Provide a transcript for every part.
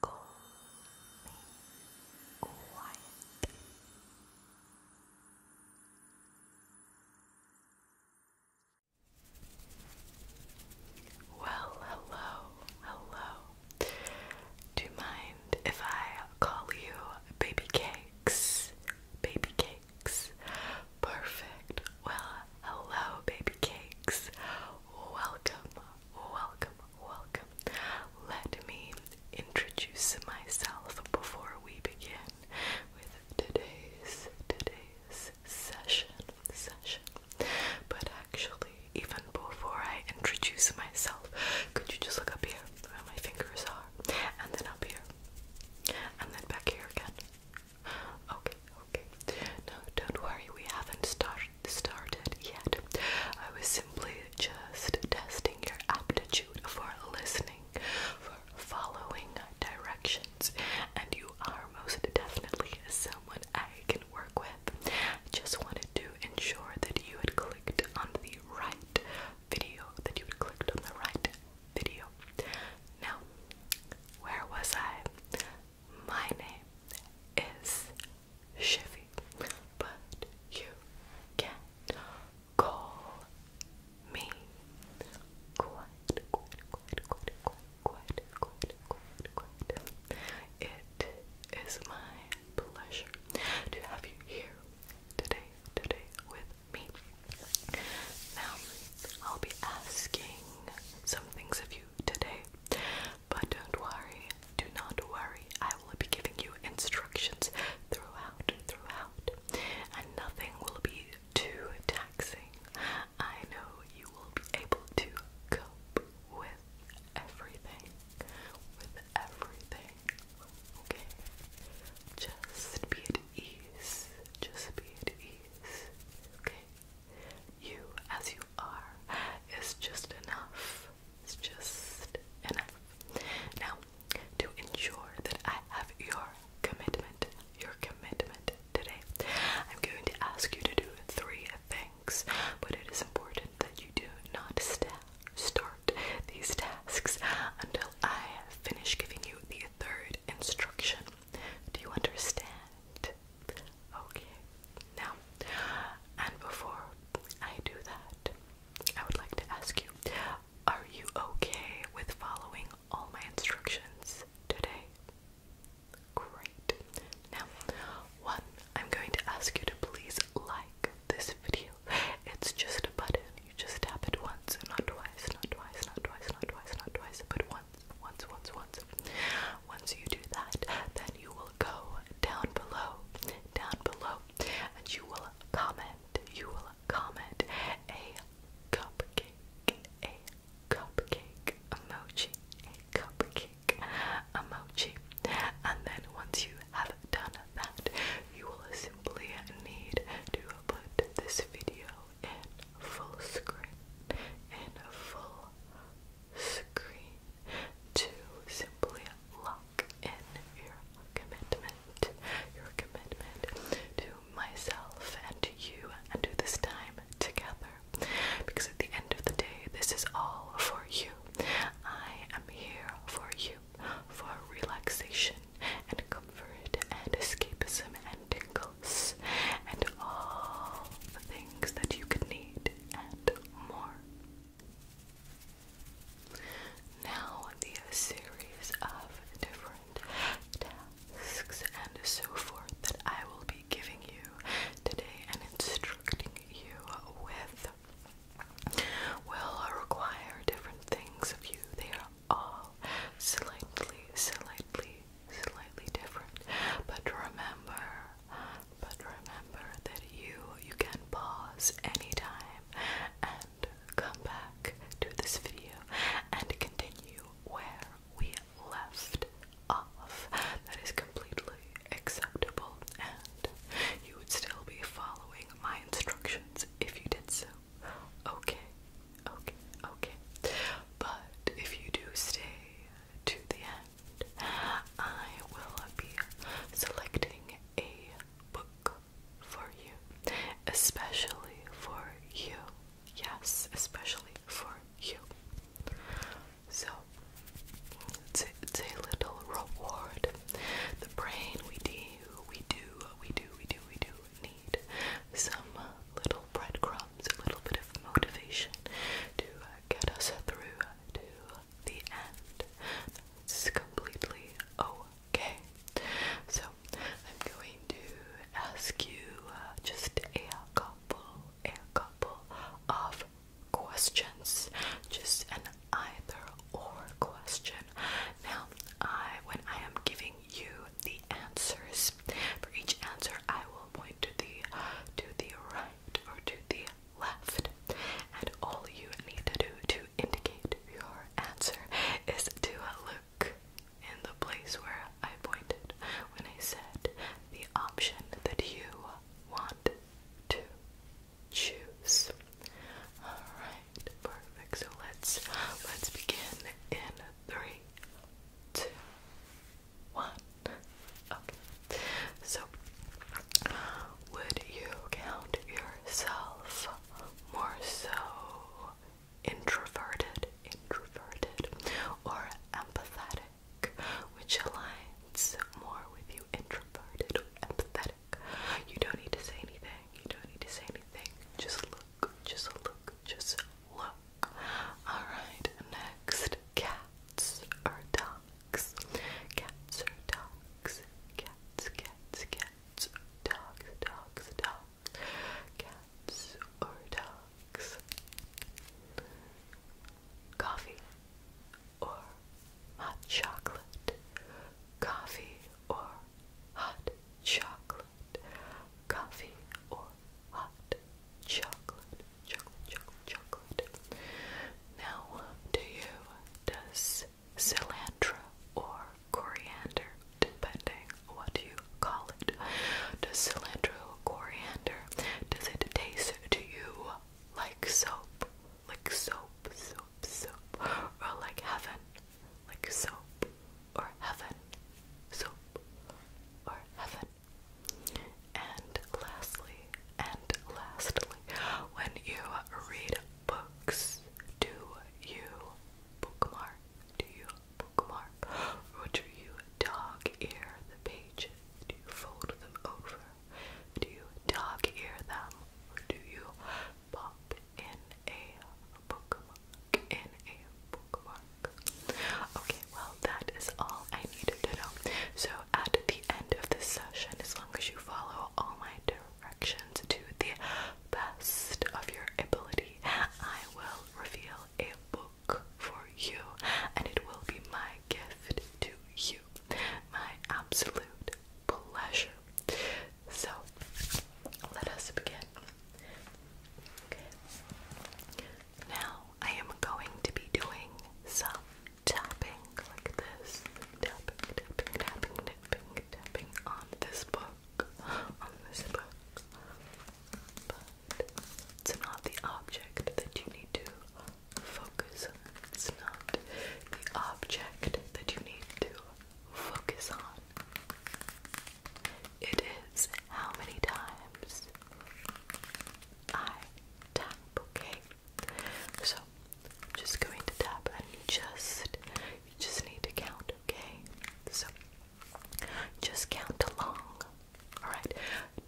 Go quiet. Well, hello, hello. Do you mind if I call you baby cakes? Baby cakes. Perfect. Well, hello, baby cakes welcome, welcome, welcome. Let me introduce myself before we begin with today's today's session session. But actually, even before I introduce myself, could you just look up here where my fingers are, and then up here, and then back here again? Okay, no, don't worry, we haven't start started yet. I was simply just testing your aptitude for listening, for following directions, and you are most definitely someone I can work with. just wanted to ensure that you had clicked on the right video, that you had clicked on the right video. Now, where was I? My name is Shivy, but you can call me quite, quite, quite, quite, quite, quite, quite, quite. It is my pleasure to have you here today, today with me. Now, I'll be asking some things of you today. But don't worry, do not worry. I will be giving you instructions throughout, throughout, and nothing will be too taxing. I know you will be able to cope with everything, with everything. Okay, just be at ease. Just be at ease. Okay. You as you are is just enough. It's just enough. Now, to ensure that I have your commitment, your commitment today, I'm going to ask you to do three things, but it is important that you do not start these tasks until I finish giving you the third instruction. Do you understand? Okay, now, and before I do that, I would like to ask you are you okay with following all my instructions today? Great. Now, one, I'm going to ask you to please like this video. It's just a button. You just tap it once, not twice, not twice, not twice, not twice, not twice, but once, once, once, once. Once you do that, then you will go down below, down below, and you will comment, you will comment a cupcake, a cupcake emoji, a cupcake emoji. And then once you have done that, you will simply need to put this video in full screen, in full screen to simply lock in your commitment, your commitment to myself and to you and to this time together. Because at the end of the day, this is all for you. I am here for you, for relaxation and comfort and escapism and tingles and all the things that you could need and more. Now, the series of different tasks and so forth that I will be giving you today and instructing you with will require different things of you. They are all slightly, slightly, slightly different, but remember but remember that you you can pause anytime and come back to this video and continue where we left off. That is completely acceptable and you would still be following my instructions if you did so. Okay, okay, okay. But if you do stay to the end, I will be selecting a book for you, especially for you. Yes, especially for you. So, a little reward. The brain, we do, we do, we do, we do, we do need some little breadcrumbs, a little bit of motivation to get us through the end. This is completely okay. So, I'm going to ask you uh, just a couple, a couple of questions. Just an either or question. Now, I when I am giving you the answers, for each answer I will point to the to the right or to the left. And all you need to do to indicate your answer is to look in the place where I pointed when I said the option that you want to choose. Alright, perfect. So let's let's begin in three, two, one. Okay. So, would you count yourself more so introverted, introverted, or empathetic? Which aligns more with you, introverted or empathetic? You don't need to say anything. You don't need to say anything. Just look. Just look. Just look. All right. Next, cats or dogs. Cats are dogs. Cats, cats, cats. Dogs, dogs, dogs. Cats or dogs. Coffee or hot chocolate. Coffee or hot chocolate. Coffee or hot chocolate. Chocolate, chocolate, chocolate. Now, do you does cilantro or coriander, depending what you call it? Does cilantro coriander does it taste to you like soap? Like soap, soap, soap, or like heaven? Like soap or heaven? Soap or heaven? And lastly, and lastly, when you read books, do you bookmark? Do you bookmark? do you dog ear the pages? Do you fold them over? Do you dog ear them? do you pop in a bookmark? In a bookmark. Okay, well, that is all I needed to know. So at the end of this session, as long as you follow all my directions to the best of your ability. I will reveal a book for you, and it will be my gift to you. My absolute pleasure. So, let us begin. Now, I am going to be doing some tapping like this, tapping, tapping, tapping, tapping, tapping on this book, on this book. But it's not the object that you need to focus on. It's not the object that you need to focus on. It is how many times I tap, okay? So just going to tap and you just you just need to count, okay? So just count along. Alright.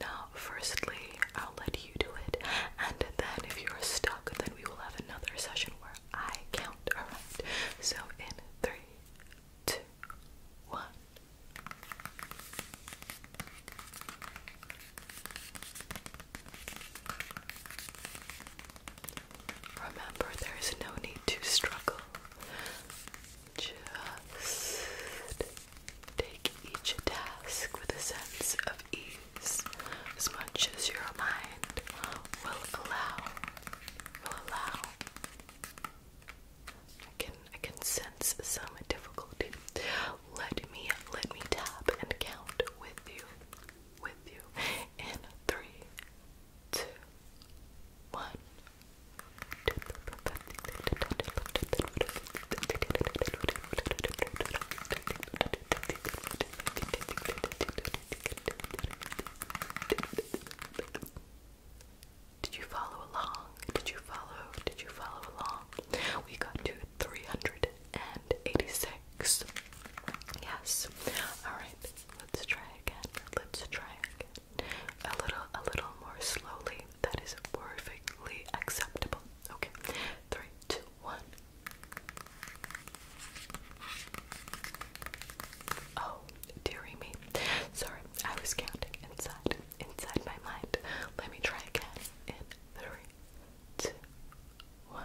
Now firstly I'll let you do it and then if you're stuck then we will have another session where I count. Alright. So in three, two, one. Remember, there is no need to struggle. Just take each task with a sense of ease as much as your mind will allow. Will allow. I can I can sense some difficulty. Let me let me tap and count with you with you in three, two, one. Did you follow along? Did you follow? Did you follow along? We got two 386. Yes. Alright, let's try again. Let's try again. A little a little more slowly. That is perfectly acceptable. Okay. Three, two, one. Oh, dearie me. Sorry, I was counting inside, inside my mind. Let me try again. In three, two, one.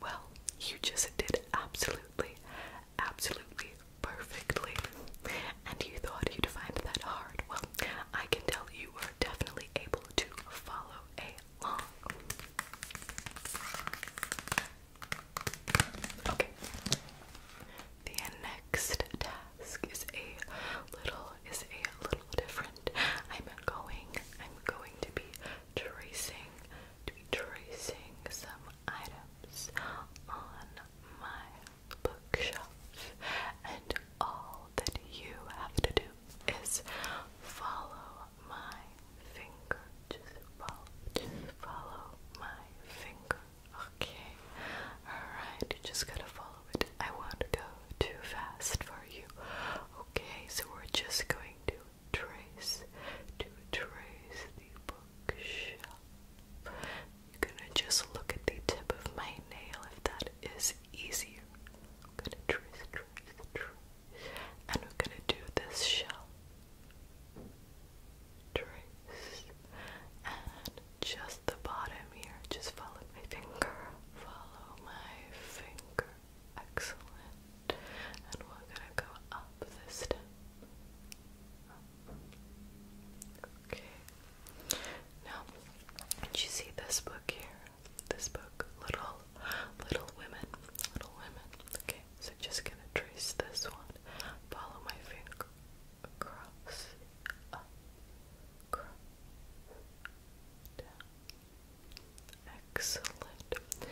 Well, you just did absolutely, absolutely perfectly. And you thought you'd find that hard. Well, I can tell you were definitely able to follow a long. Okay. The next task is a little is a little different. I'm going I'm going to be tracing to be tracing some items on my bookshelf, and all that you have to do is follow my finger. Just follow, just follow my finger. Okay, alright, you just gotta follow it. I won't go too fast for you. Okay, so we're just going to trace, to trace the bookshelf. I'm gonna just look at the tip of my nail if that is easier. I'm gonna trace, trace, trace. And we're gonna do this shell. Trace. And just the bottom here. Just follow my finger. Follow my finger. Excellent. And we're gonna go up this step. Okay. Now, did you see this book here? This book, Little Little Women. Little Women. Okay, so just gonna trace this one. Follow my finger across, across, Excellent.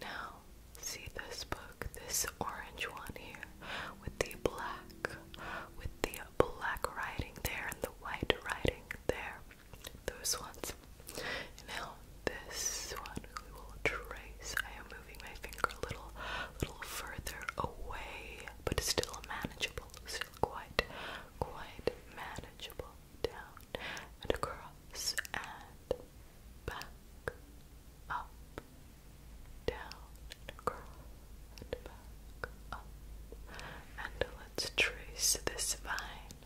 Now see this book, this orange one here, with the black, with the black writing there and the white writing there. Those ones. Now this one we will trace. I am moving my finger a little, little further away, but still manageable. Still quite, quite manageable. Down and across and back, up down across and up. And let's trace this vine.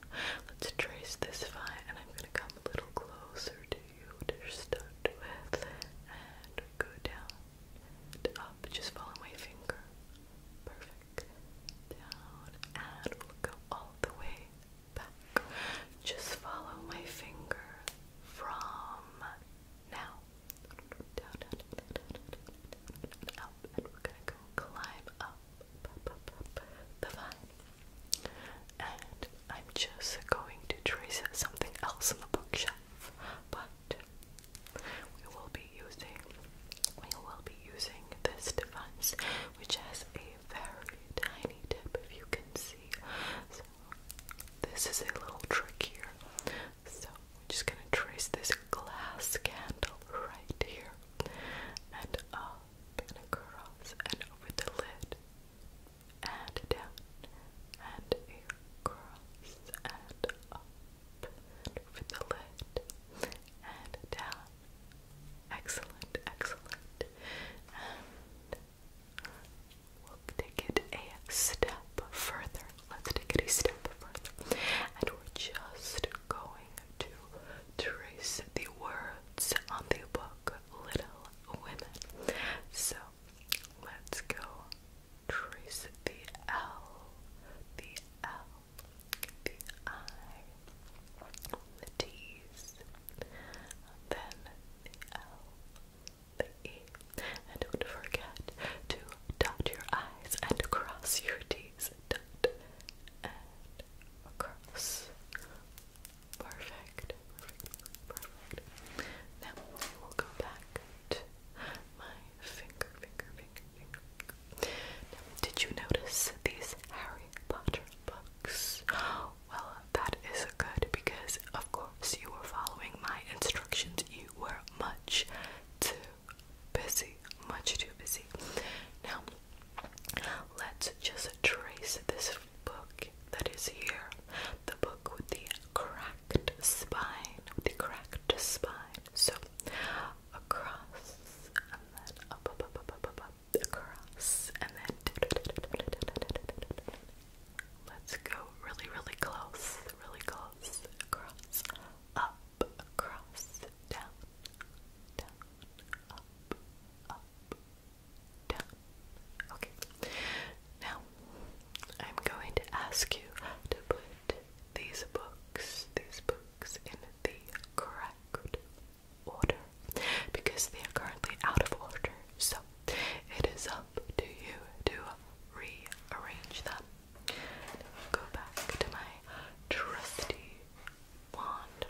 Let's trace this vine, and I'm gonna come a little closer to you to start with, and go down up. Just follow my finger. Perfect. Down and we'll go all the way just follow my finger from now up, and we're gonna go climb up, the vine. And I'm just going to trace something else on the bookshelf, but we will be using we will be using this device, which has a very tiny tip, if you can see. This is a little trick here. So we're just gonna trace this glass candle right here and up and across and over the lid and down and across and up and over the lid and down. Excellent, excellent. We'll take it a step further. Let's take it a step further. And we're just going to trace the words on the book Little Women. So let's go trace the L, the L, the I, the T's, then the L, and don't forget to dot your I's and cross your T's. Dot and across. Perfect. Now I will go back to my finger, finger, finger, finger. Now, did you notice these Harry Potter books? Well, that is good because, of course, you were following my instructions. You were much too busy, much too busy. Now, let's just trace this book that is here the book with the cracked spine, with the cracked spine. So, across and then up, up, up, up, up, up, up across and then Let's go really, really close, really close. Across, up, across, down, down, up, up, down. Okay. Now, I'm going to ask you to put these books, these books, in the correct order because they are currently out of order. So, it is up to you to rearrange them. go back to my trusty wand.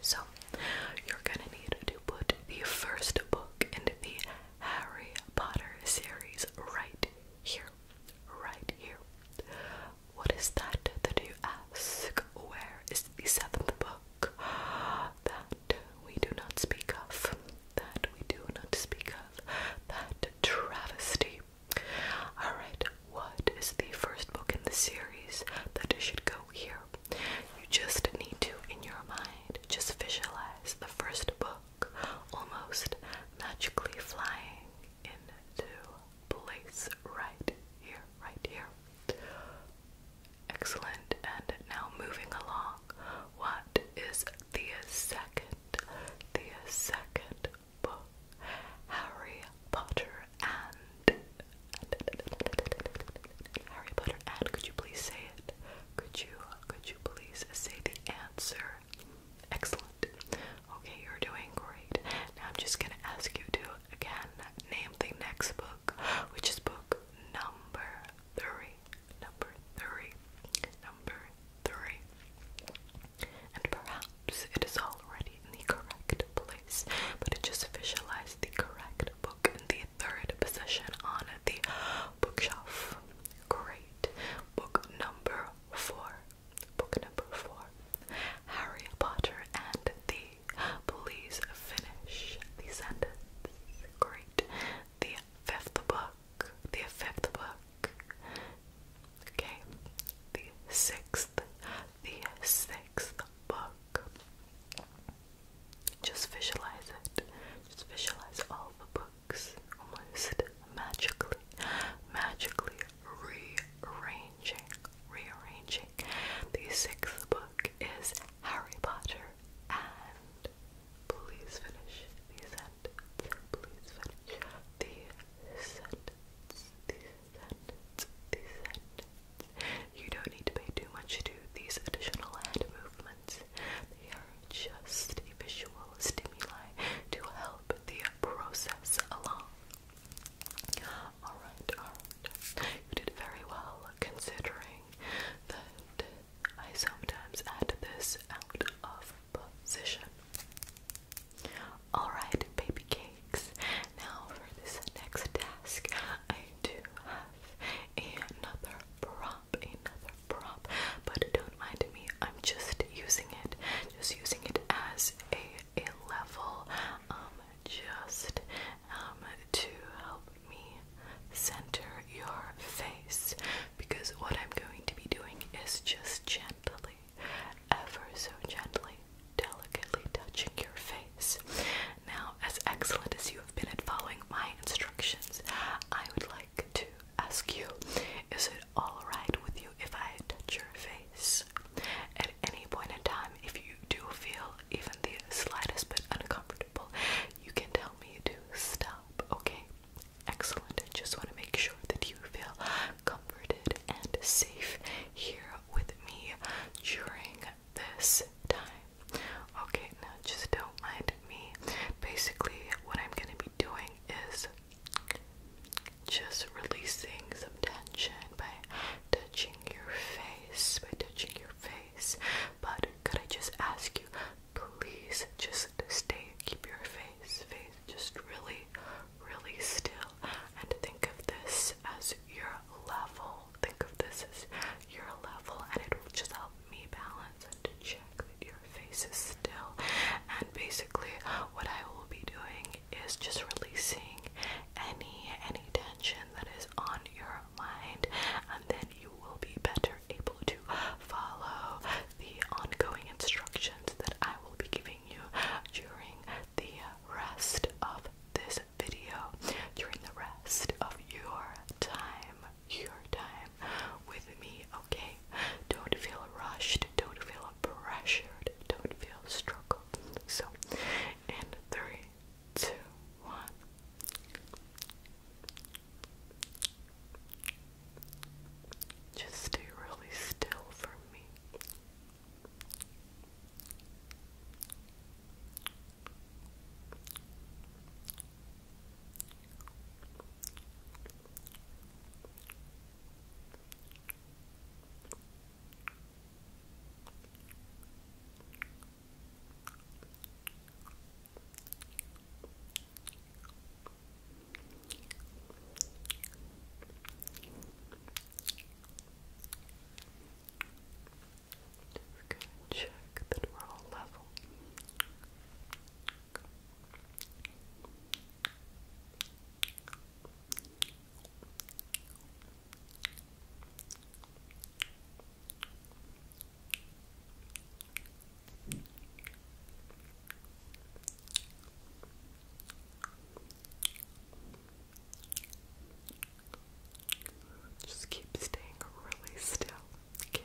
So, you're gonna need to put the first book in the Harry Potter series right here. Right here. What is that that you ask? Where is the seventh book? That we do not speak of, that we do not speak of, that travesty. Alright, what is the first book in the series that should go here? You just need to, in your mind, just visualize the first book almost magically flying into place right here, right here. Excellent. And now moving along, what is the second, the second book? Harry Potter and Harry Potter and could you please say it? Could you could you please say the answer? Excellent. Okay, you're doing great. Now I'm just gonna ask you to again name the next book book, which is book number three. Number three. Number three. And perhaps it is already in the correct place, but it just visualized the correct book in the third position on the bookshelf. Great. Book number four. Book number four. Harry Potter and the Please finish the sentence. Great the fifth book, the fifth book, okay, the sixth, the sixth book. Just visualize it, just visualize all the books almost magically, magically rearranging, rearranging. The sixth book is Harry Potter and Please finish the sentence. Please finish the sentence. The sentence. The sentence. You don't need to pay too much to these additional hand movements. They are just a visual stimuli to help the process along. alright. You did very well considering that I sometimes add this out of position. Alright, baby cakes. Now for this next task, I do have another prop, another prop, but don't mind me, I'm just using it, just using it as a, a level, um, just um, to help me center your face because what I'm going to be doing is just gently, ever so gently, delicately touching your face. Now, as excellent as you have been at following my instructions, I would like to ask you is it alright with you if I touch your face? At any point in time, if you do feel even the slightest bit uncomfortable, you can tell me to stop, okay? Excellent. I just want to make sure that you feel comforted and safe here with me during this time. Okay, now just don't mind me. Basically, what I'm going to be doing is just releasing some tension by touching your face, by touching your face, but could I just ask you, please just stay, keep your face, face just really, really still, and think of this as your level. Think of this as your level, and it will just help me balance and check that your face is still. And basically, what I will be doing is just releasing any any tension that is on your mind, and then you will be better able to follow the ongoing instructions that I will be giving you during the rest of this video, during the rest of your time, your time with me, okay? Don't feel rushed, don't feel pressured, don't feel struggled. So, in three, two, one. Just stay really still for me. Just going check that we're all level. Just keep staying really still. Okay.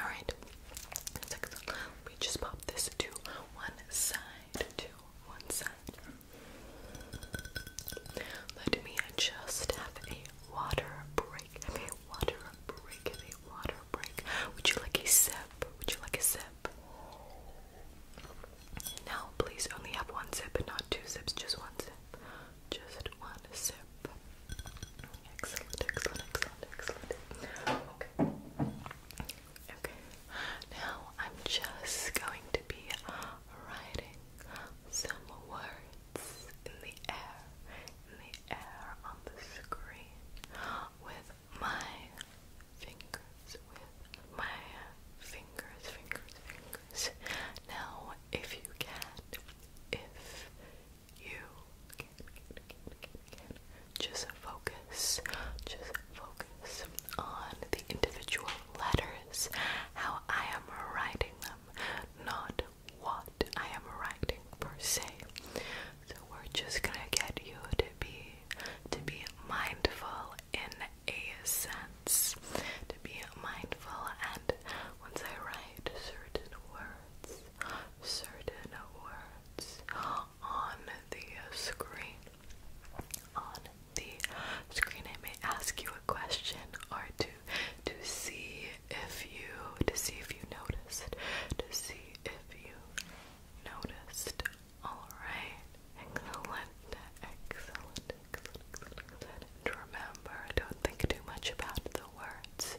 Alright, we just pop this to one side, to one side. Let me just have a water break, a water break, a water break. Would you like a sip? Would you like a sip? Now, please only have one sip and not two sips, just one sip. Just one sip. Excellent, excellent, excellent, excellent. Okay. Okay. Now, I'm just going to be writing some words in the air, in the air on the screen with my fingers with my fingers, fingers, fingers. Now, if you can, if you can, just focus, just focus on the individual letters, how I am writing them, not what I am writing per se. So we're just gonna get you to be to be mindful in a sense, to be mindful, and once I write certain words, certain words on the screen, on the screen, I may ask you a question or to to see if you, to see if you noticed, to see if you noticed Alright, excellent, excellent, excellent, remember, don't think too much about the words.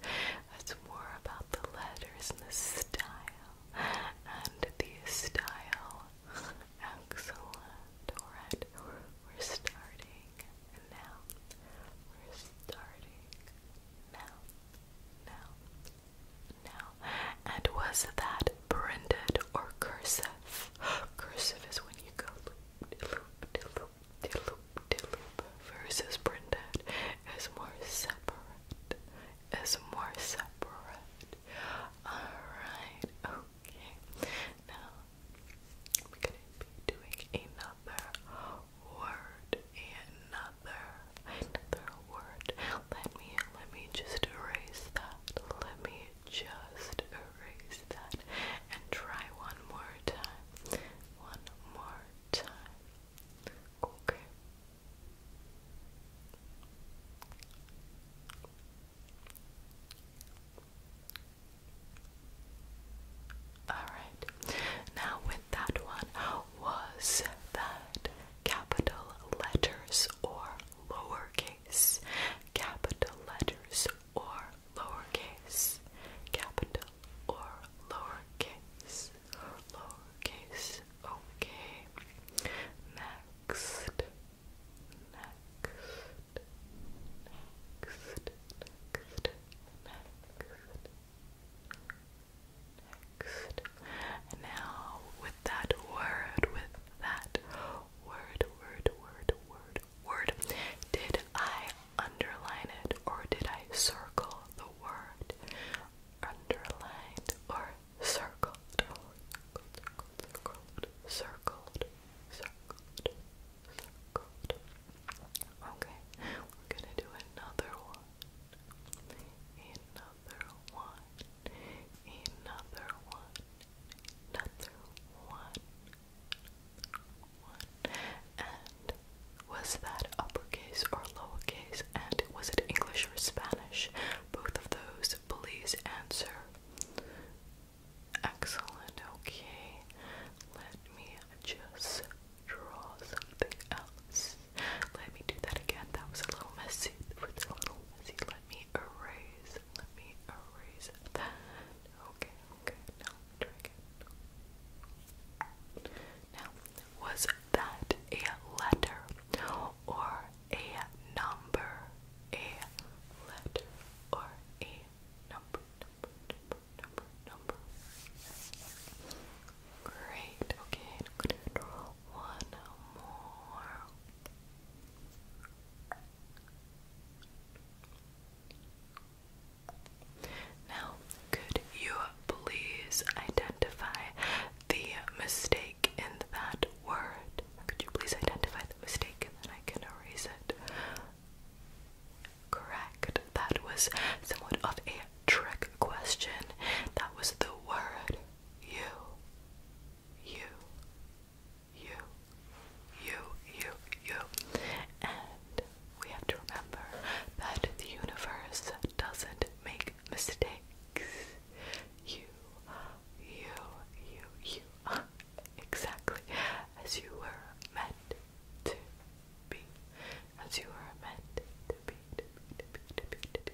It's more about the letters and the style. And the style. Excellent. we're starting now. We're starting now. Now now. And was that branded or cursive? Cursive is when you go loop, loop, de loop, Versus branded is more separate. Is more separate. Alright, okay. Now I'm gonna be doing another word, another, another word. Let me, let me just erase that. Let me just erase that and try one more time. One more time. Okay. Alright, now with that one, was that capital letters or lowercase? capital letters, or lowercase, capital or lowercase, lowercase, okay. Next, next, next, next, next. now we with that word, with that word, word, word, word, word. Did I underline it or did I circle the word? Underlined or circled? Circled, circled, circled, circled, circled. Okay, we're gonna do another one. Another one another one, another one, one. And was that uppercase or lowercase? And was it English or Spanish? Both of those, please answer. Excellent, okay. Let me just draw something else. Let me do that again. That was a little messy. That was a little messy. Let me erase. Let me erase that. Okay, okay. Now try again. Now, was that a letter or a number? A letter or a number? Number, number, number, number. Great. Okay, one more. Now, could you please identify the mistake in that word? Could you please identify the mistake and then I can erase it? Correct. That was somewhat of a trick question. That was the word you. You you, you, you, you. And we have to remember that the universe doesn't make mistakes. You, you, you, you are exactly as you were meant to be. As you were meant to be,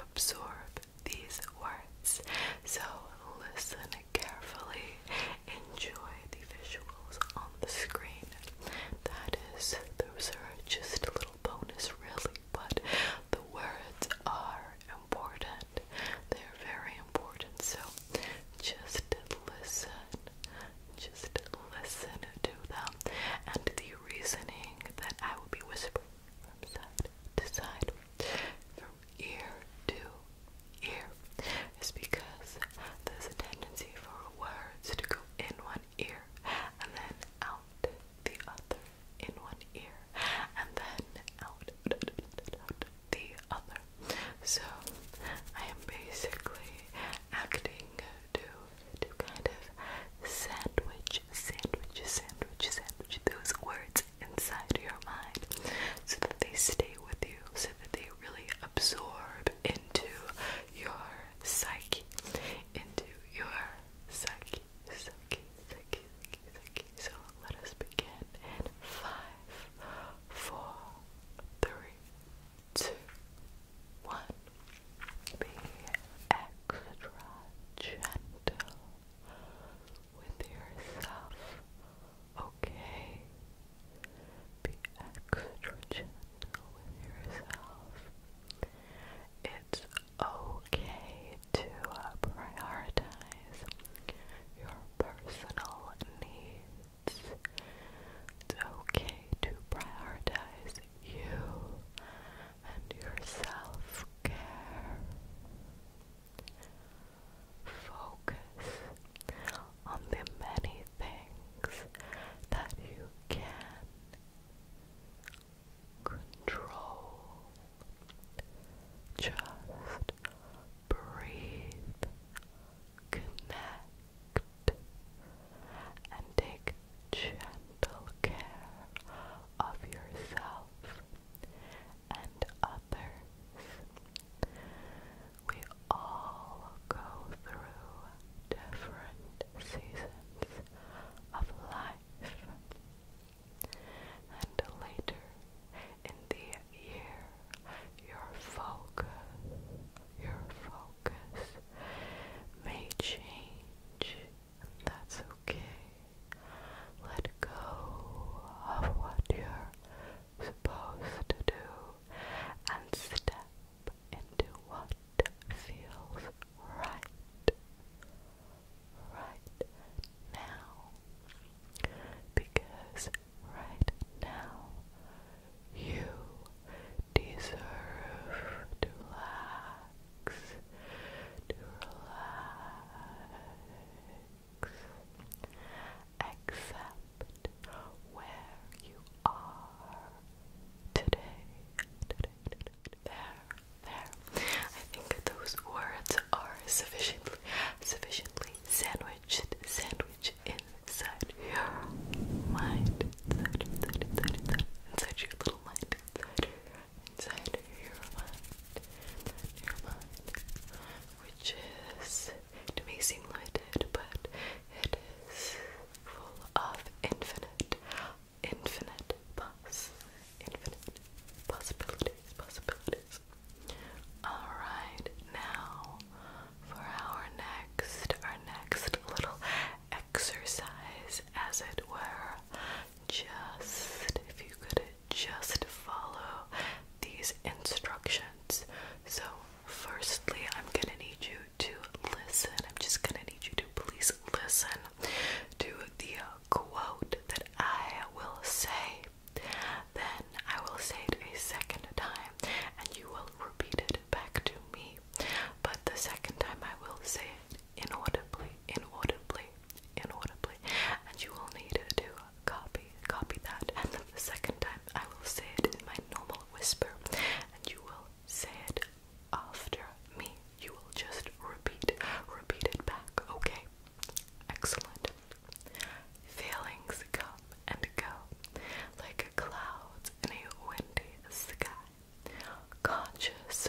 absorb these words. So listen carefully, enjoy the visuals on the screen. That is, those are just a little bonus, really, but the words are important. They're very important, so just listen. Just listen to them and the reasoning that I will be whispering from side to side, from ear to ear, is because there's a tendency for words to go in one ear and then out the other, in one ear and then out, the other. So I am basically acting to to kind of sandwich, sandwich, sandwich, sandwich those words inside your mind so that they stay with you, so that they really absorb into your psyche, into your psyche, psyche, psyche, psyche, psyche. So let us begin in five, four, three, two, one. Be extra gentle with yourself, okay? Be extra gentle with yourself. It's okay to prioritize your personal needs. It's okay to prioritize you and your self care. Focus on the many things that you can control. Just breathe, connect, and take gentle care of yourself and others. We all go through different seasons of life. And later in the year, your focus, your focus may change and that's okay. Let go of what you're supposed to do and step into what feels right right now. Because right now you deserve to laugh to relax. Accept where you are today. Today, There, there. I think those words are sufficiently, sufficiently sandwiched, sandwiched inside your mind. Inside, inside, inside, inside, your little mind. Inside inside of your mind, which may seem limited, but it is full of infinite, infinite poss, infinite possibilities, possibilities. All right, now for our next, our next little exercise, as it were just, if you could just follow these instructions. So, firstly, I'm gonna need you to listen. I'm just gonna need you to please listen to the uh, quote that I will say. Then I will say it a second time and you will repeat it back to me. But the second time I will say it inaudibly, inaudibly, inaudibly, and you will need to copy copy that. And the second time, I will say it in my normal whisper, and you will say it after me. You will just repeat, repeat it back. Okay, excellent. Feelings come and go, like clouds in a windy sky. Conscious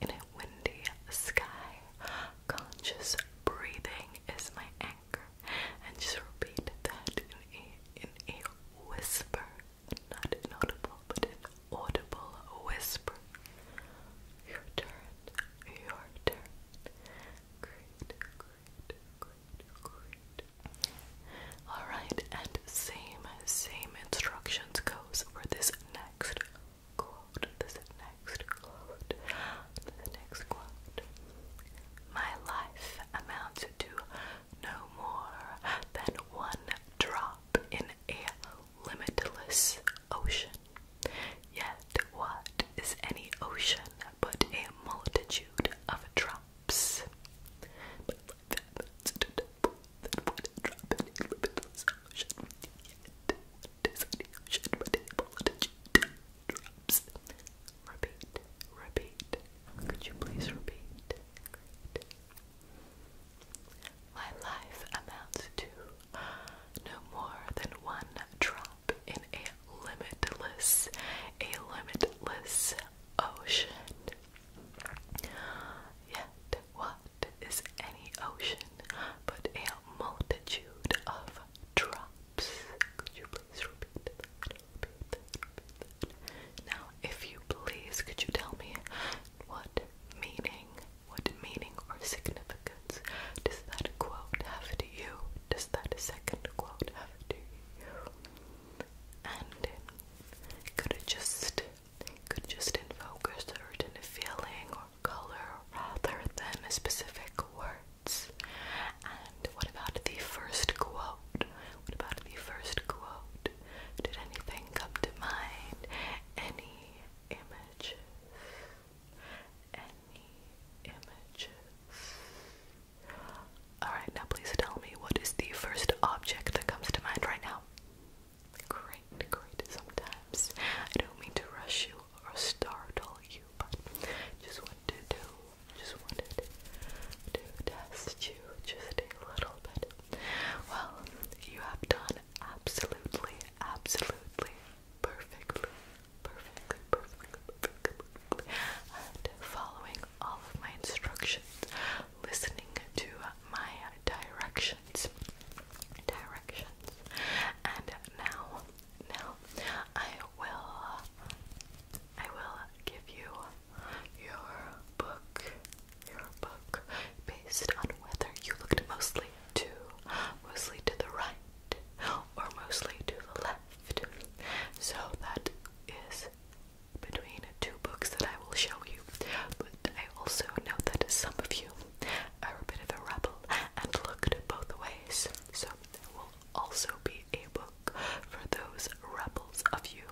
in a windy sky. Conscious breathing is my anchor. And just repeat that in a, whisper. Not inaudible, but an audible whisper. Your turn. Your turn. Great, great, great, great. Alright, and same, same instructions goes for this next quote, this next quote, this next My life amounts to no more than one drop in a limitless ocean. Yet, what is any ocean but a multitude of drops? that would drop any little solution yet. This solution would voltage drops. Repeat, repeat. Could you please repeat? My life amounts to no more than one drop in a limitless, a limitless ocean. Yet, what is any ocean, but a multitude of drops. Could you please repeat Now, if you please, could you tell me what meaning, what meaning or significance does that quote have to you? Does that second quote have to you? And could it just could just invoke a certain feeling or color rather than specific words. And what about the first quote? What about the first quote? Did anything come to mind? Any images? Any images? Alright, now please tell me what is the first object that comes to mind right now? great, great sometimes. I don't mean to rush you or startle you, but just wanted to, just wanted to test you just a little bit. Well, you have done absolutely, absolutely perfectly, perfectly, perfectly, perfectly, perfectly. and following all of my instructions, listening to my direction directions. And now, now, I will, I will give you your book, your book, based on whether you looked mostly to, mostly to the right, or mostly to the left. So that is between two books that I will show you, but I also know that some of you are a bit of a rebel and looked both ways. So there will also be a book for those rebels of you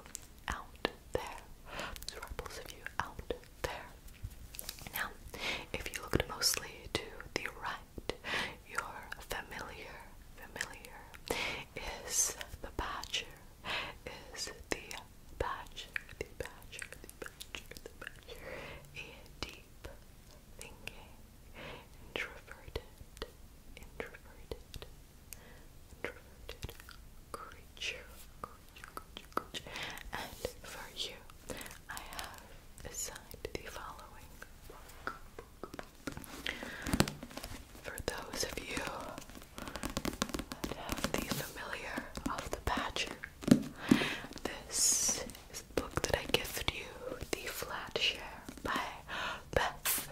out there. Those rebels of you out there. Now, if you looked mostly to the right, your familiar, familiar is the badger, is the badger, the badger, the badger culture, and deep thinking, introverted, introverted, introverted creature, And for you, I have assigned the following For those of you that have the familiar of the badger this is the book that I gift you, The Flat Share by Beth,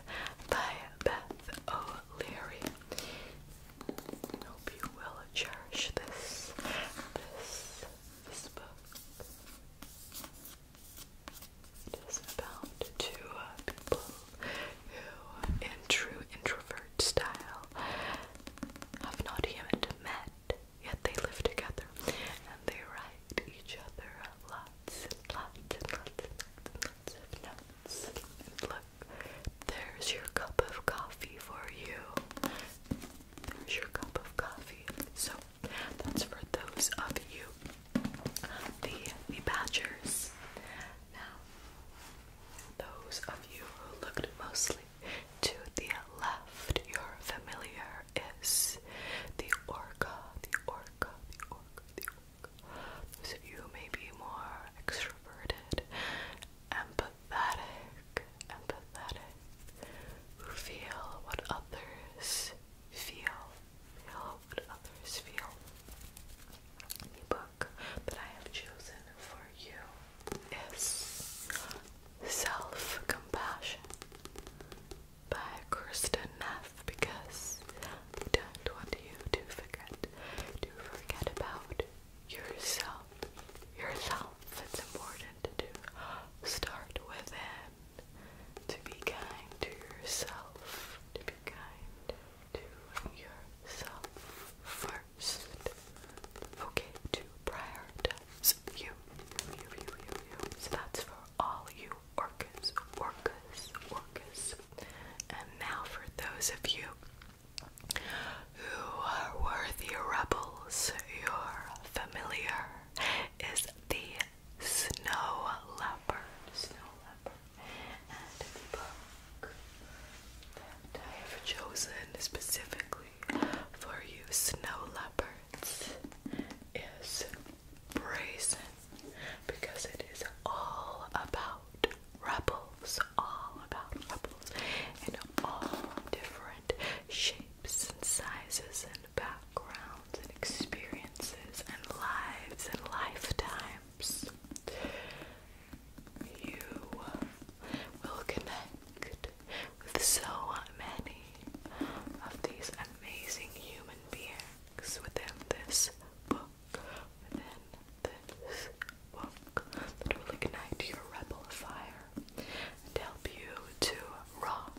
by Beth O'Leary. Hope you will cherish this, this, this book. It is about two people who, in true introvert style, have not yet met yet they live together and they write each other lots and lots and lots and lots of notes. look, there's your cup of coffee for you. There's your cup of coffee. So that's for those of you, the the badgers. Now, those of you who looked mostly to the left, your familiar is the orca, the orca, the orca, the orca. Those of you who may be more extroverted, empathetic, empathetic, who feel what others feel, feel what others feel. The book that I have chosen for you is Self Compassion by Kirsten Neff because don't want you to forget to forget about yourself. Yourself. It's important to start within. To be kind to yourself. To be kind to yourself first. Okay, to prioritize you. You, you, you, you. So that's for all you orcas, orcas, orcas. And now for those of you who are worthy rebels, your familiar is the snow leopard. Snow leopard. And book that I have chosen specifically for you snow leopards is brazen because it is all about rebels, all about rebels in all different shapes and sizes and backgrounds and experiences and lives and lifetimes. You will connect with so many of these amazing human beings within this book, within this book that will ignite your rebel fire and help you to rock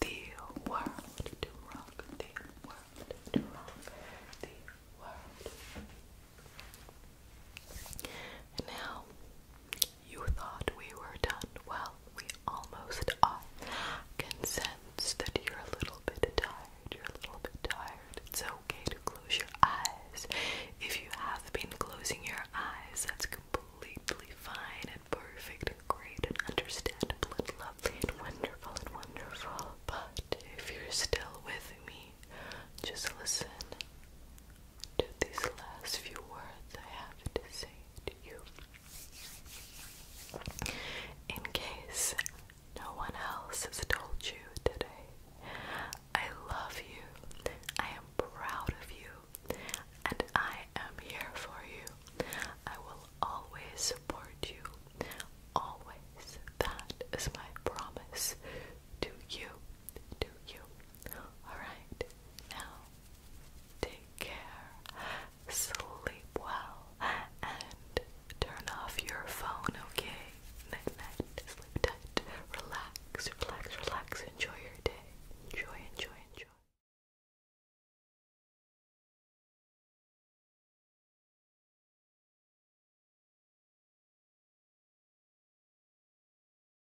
the world, to rock the world, to rock the world now you thought we were done. Well, we almost are. I that you're a little bit tired. You're a little bit tired. It's okay to close your eyes. If you have been closing your eyes, that's completely fine and perfect and great and understandable and lovely and wonderful and wonderful. But if you're still with me, just listen to these last few words I have to say to you. In case no one else has told you today, I love you, I am proud of you, and I am here for you. I will always support you. Always. That is my promise to you to you. Alright, now take care, sleep well, and turn off your phone, okay? Night night, sleep tight, relax, relax, relax, enjoy your day. Enjoy, enjoy, enjoy.